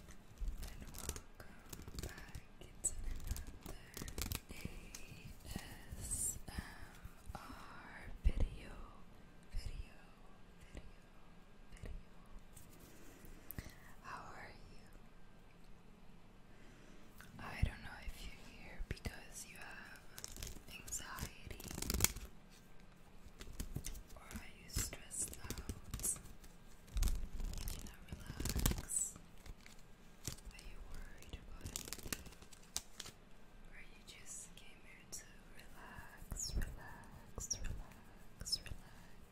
and welcome back to another ASMR video, video, video, video. How are you? I don't know if you're here because you have anxiety or are you stressed out? you not relax? Are you worried about anything? Or you just came here to relax, relax, relax, relax?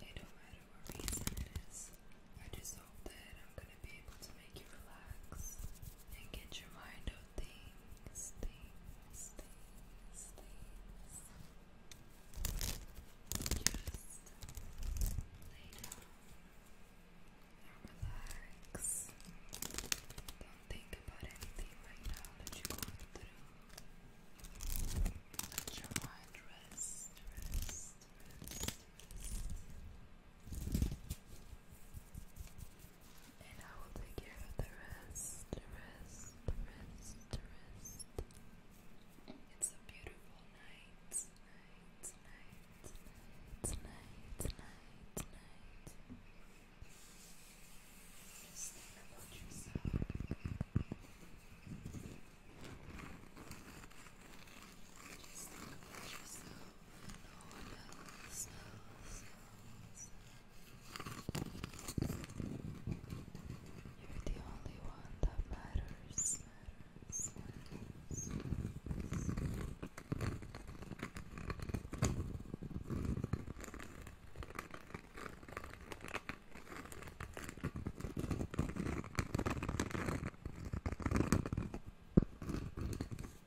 It don't matter what reason it is. I just hope that I'm gonna be able to make you relax and get your mind things, things, things, things. Just lay down relax. Don't think about anything right now you Let your mind rest and I will take care of the rest, the rest, the rest, the rest. It's a beautiful night, night, night, night, night, night, night. Just think about Just think about no one else. So, you're the only one that matters, you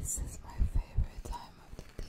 This is my favorite time of the day.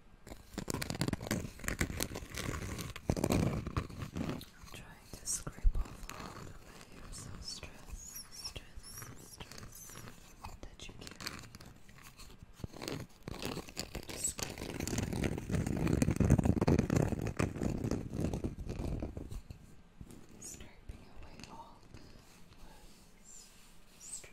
I'm trying to scrape off all the layers of stress, stress, stress that you carry. Scraping away all the stress,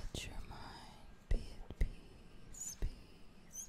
Let your mind be at peace, peace, peace.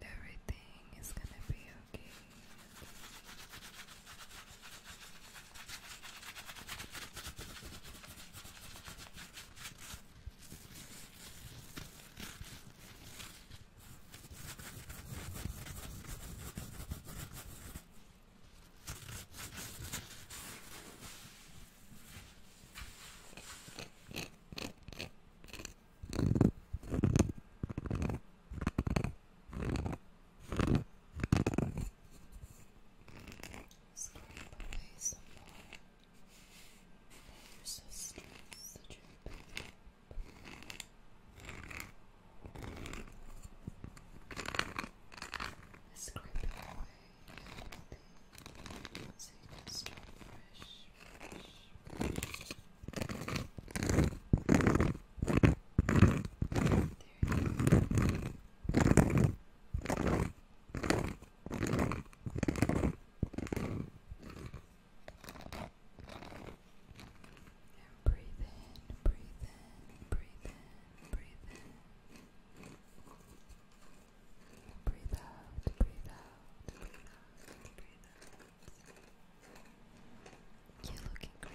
Everything is gonna be okay. Scrape away some more. You're so stressed, such a Scrape away so you can you go. And breathe in, breathe in, breathe in, breathe in. Breathe out, breathe out, breathe out, breathe out. You're looking great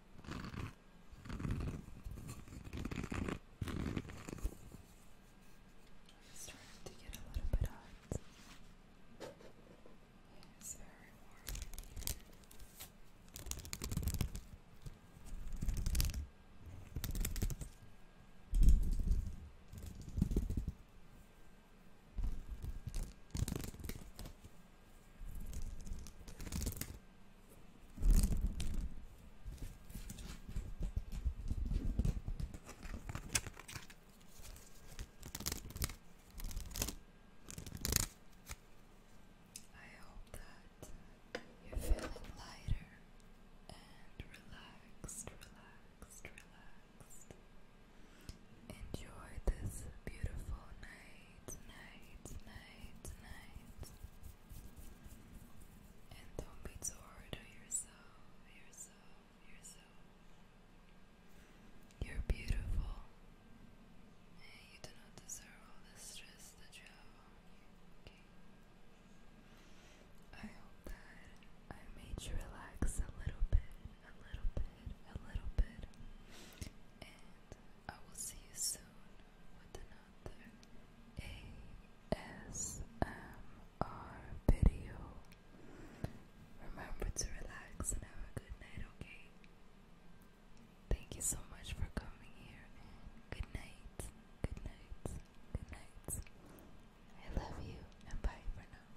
starting to get a little bit hot. It's very warm I hope that you're feeling lighter and relaxed, relaxed, relaxed. Enjoy this beautiful night night, night, night, And don't be too hard on yourself, yourself, yourself. You're beautiful. And you do not deserve all the stress that you have on you. Okay. I hope that I made you relax a little bit, a little bit, a little bit. And I will see you soon with another ASMR video. Remember to relax and have a good night, okay? Thank you so much for coming here. Good night. Good night. Good night. I love you and bye for now.